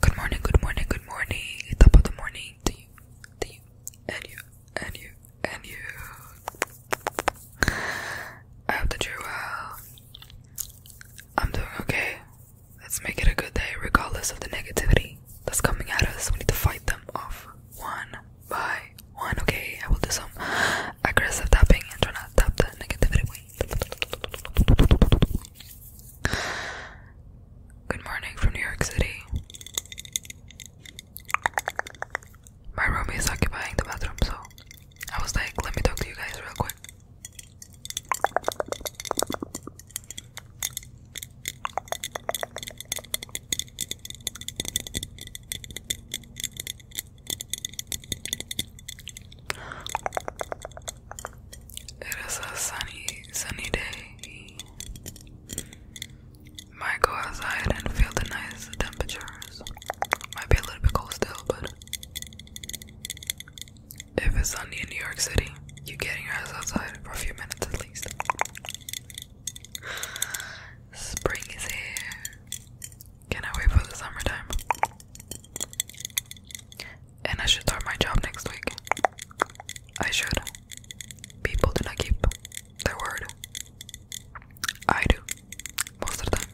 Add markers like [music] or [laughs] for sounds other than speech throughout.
Good morning, good morning, good morning. Top of the morning to you, to you, and you, and you, and you. I hope that you I'm doing okay. Let's make it a good day, regardless of the negativity that's coming at us. We need to fight them off one by one. Okay, I will do some aggressive tapping and try not to tap the negativity away. Good morning from New York City. My roommate is occupying the bathroom, so I was like, let me talk to you guys real quick. It is a sunny, sunny day. Might go outside and feel the nice temperatures. Might be a little bit cold still, but if it's sunny in New York City, you getting your ass outside for a few minutes at least. Spring is here. Cannot wait for the summertime. And I should start my job next week. I should. People do not keep their word. I do. Most of the time.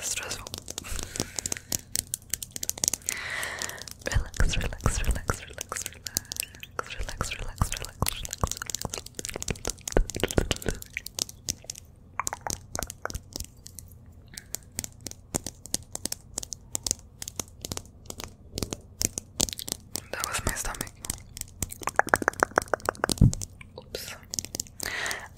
Stressful. relax, relax, relax, relax, relax, relax, relax, relax, relax, relax. That was my stomach. Oops.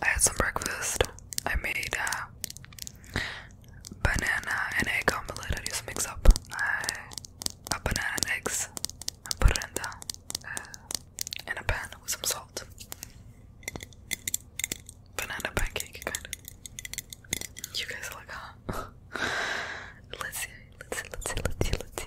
I had some breakfast. I made uh, uh, a banana and egg omelette. I just mix up a, banana eggs and put it in the uh, in a pan with some salt. Banana pancake kind of. You guys are like, [laughs] Let's see. Let's see, let's see, let's see, let's see. Let's see.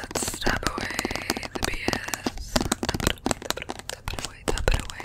Let's tap away the BS. Tap it away, tap it away, tap it away. Tap it away.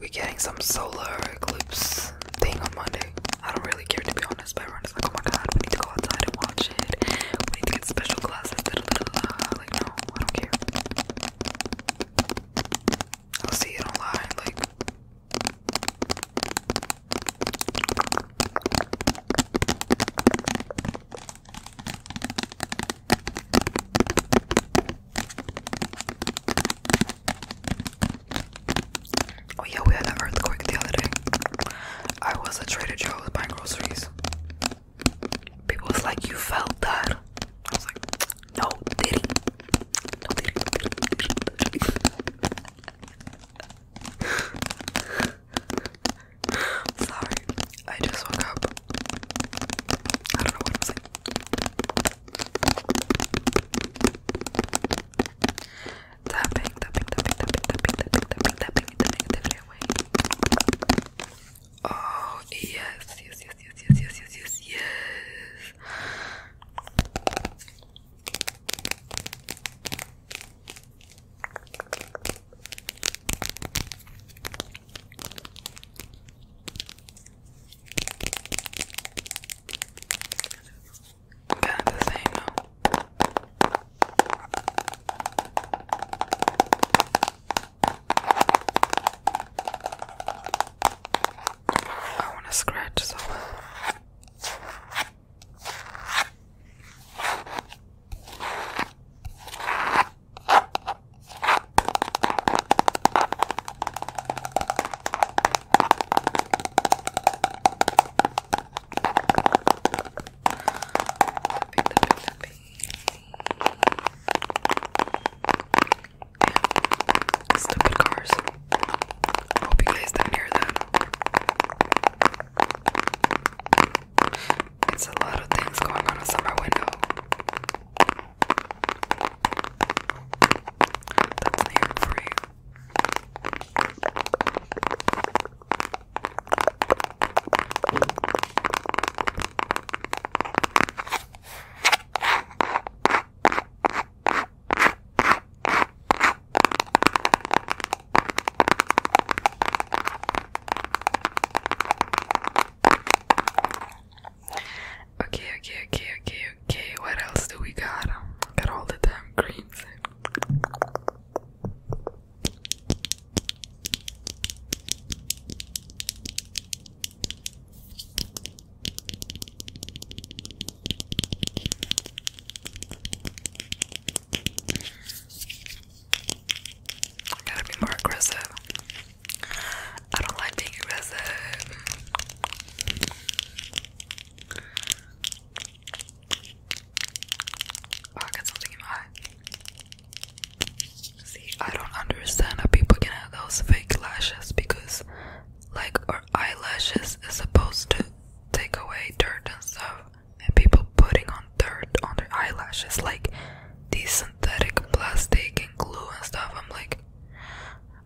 We're getting some solar eclipse thing on Monday. I don't really care to be honest, but everyone's like, oh my god, we need to go outside and watch it. We need to get special glasses. Like, no, I don't care. I'll see it online. Like, Oh yeah, we had an earthquake the other day. I was at Trader Joe's buying groceries. People was like, "You felt that?" I was like, "No, did he? [laughs] Sorry, I just woke up. I don't know what I'm saying. Tapping, tapping, tapping, tapping, tapping, tapping, tapping, tapping the negativity away. Oh yes, yes, yes, yes, yes, yes, yes, yes, yes. Kind of the same I want to scratch so stupid cars. hope you guys don't hear that. It's a lot of things going on outside my window. That's the air for you. Okay, okay, okay, okay, okay. What else do we got? Got all the damn creams. I gotta be more aggressive. I don't like being aggressive. Oh, I got something in my eye. See, I don't understand how people can have those fake lashes because, like, our eyelashes is supposed to take away dirt and stuff, and people putting on dirt on their eyelashes, like, these synthetic plastic and glue and stuff. I'm like,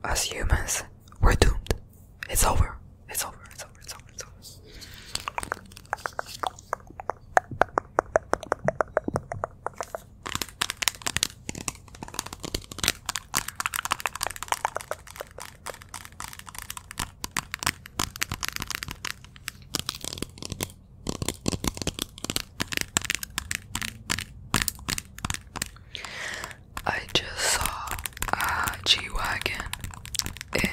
as humans, we're doomed. It's over. It's over. It's over. It's over. It's over. I just saw a G Wagon in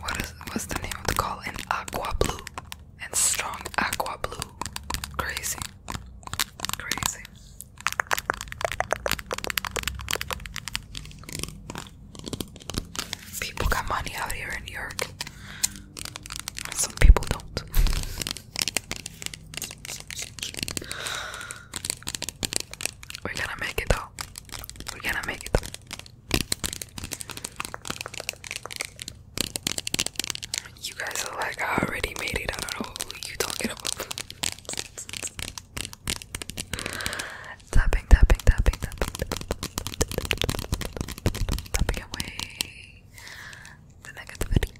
what is what's the name of the call in aqua blue and strong aqua blue. Crazy. Crazy. People got money out here in New York. Some people don't. We're gonna make it though. We're gonna make it though. You guys are like, I already made it. I don't know what you talking about tapping, tapping, tapping, tapping, tapping away the negativity.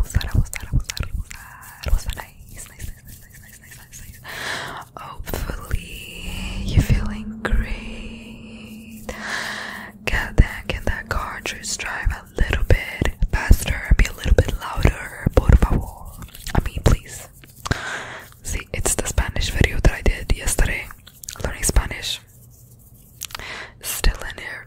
Usar, usar, usar, usar, usar. Nice, nice, nice, nice, nice, nice, nice, nice. Hopefully, you're feeling great. Get back in that cartridge drive. I little bit faster, be a little bit louder, por favor. I mean, please. See, it's the Spanish video that I did yesterday, learning Spanish. Still in here.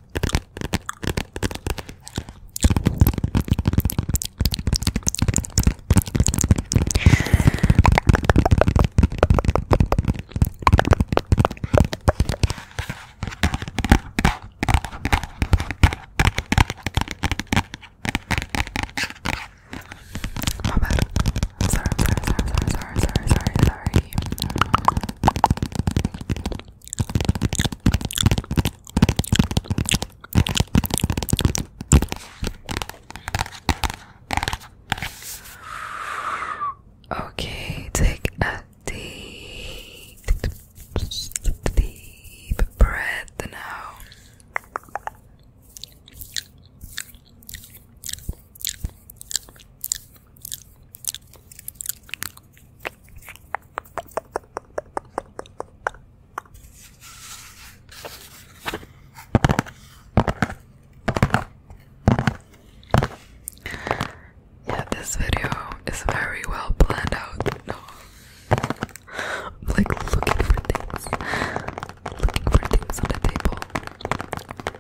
My bad. Sorry, sorry, sorry, sorry, sorry, sorry, sorry. Okay, take a deep, deep breath now. Yeah, this video is very well planned out. No, I'm like looking for things, looking for things on the table.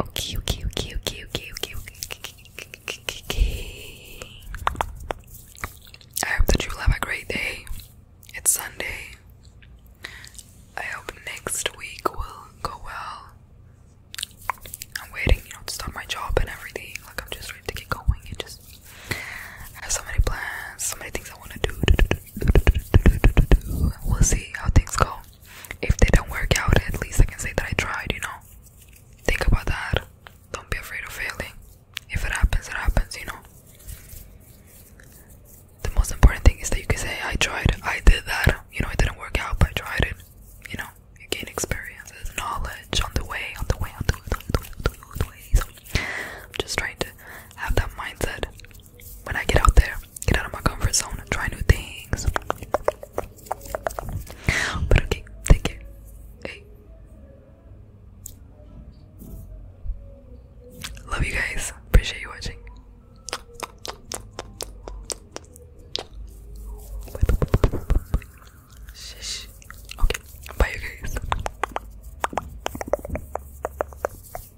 Okay, okay, okay, okay, okay, okay, okay, okay. I hope that you have a great day. It's Sunday. I hope next week will go well. I'm waiting, you know, to start my job and everything. Like I'm just ready to get going and just have so many plans, so many things I want to do, We'll see how things go. If they don't work out, at least I can say that I tried, you know? Think about that. Don't be afraid of failing. If it happens, it happens, you know? The most important thing is that you can say, I tried, I did that. You know, it didn't work out, but I tried it. You know, you gain experiences, knowledge on the way, on the way, on the way, on the way, on the way. On the way. So, I'm just trying to have that mindset when I get out there, get out of my comfort zone try new things. But okay, take care. Hey. Love you guys. Appreciate you watching. Shish. Okay, bye you guys.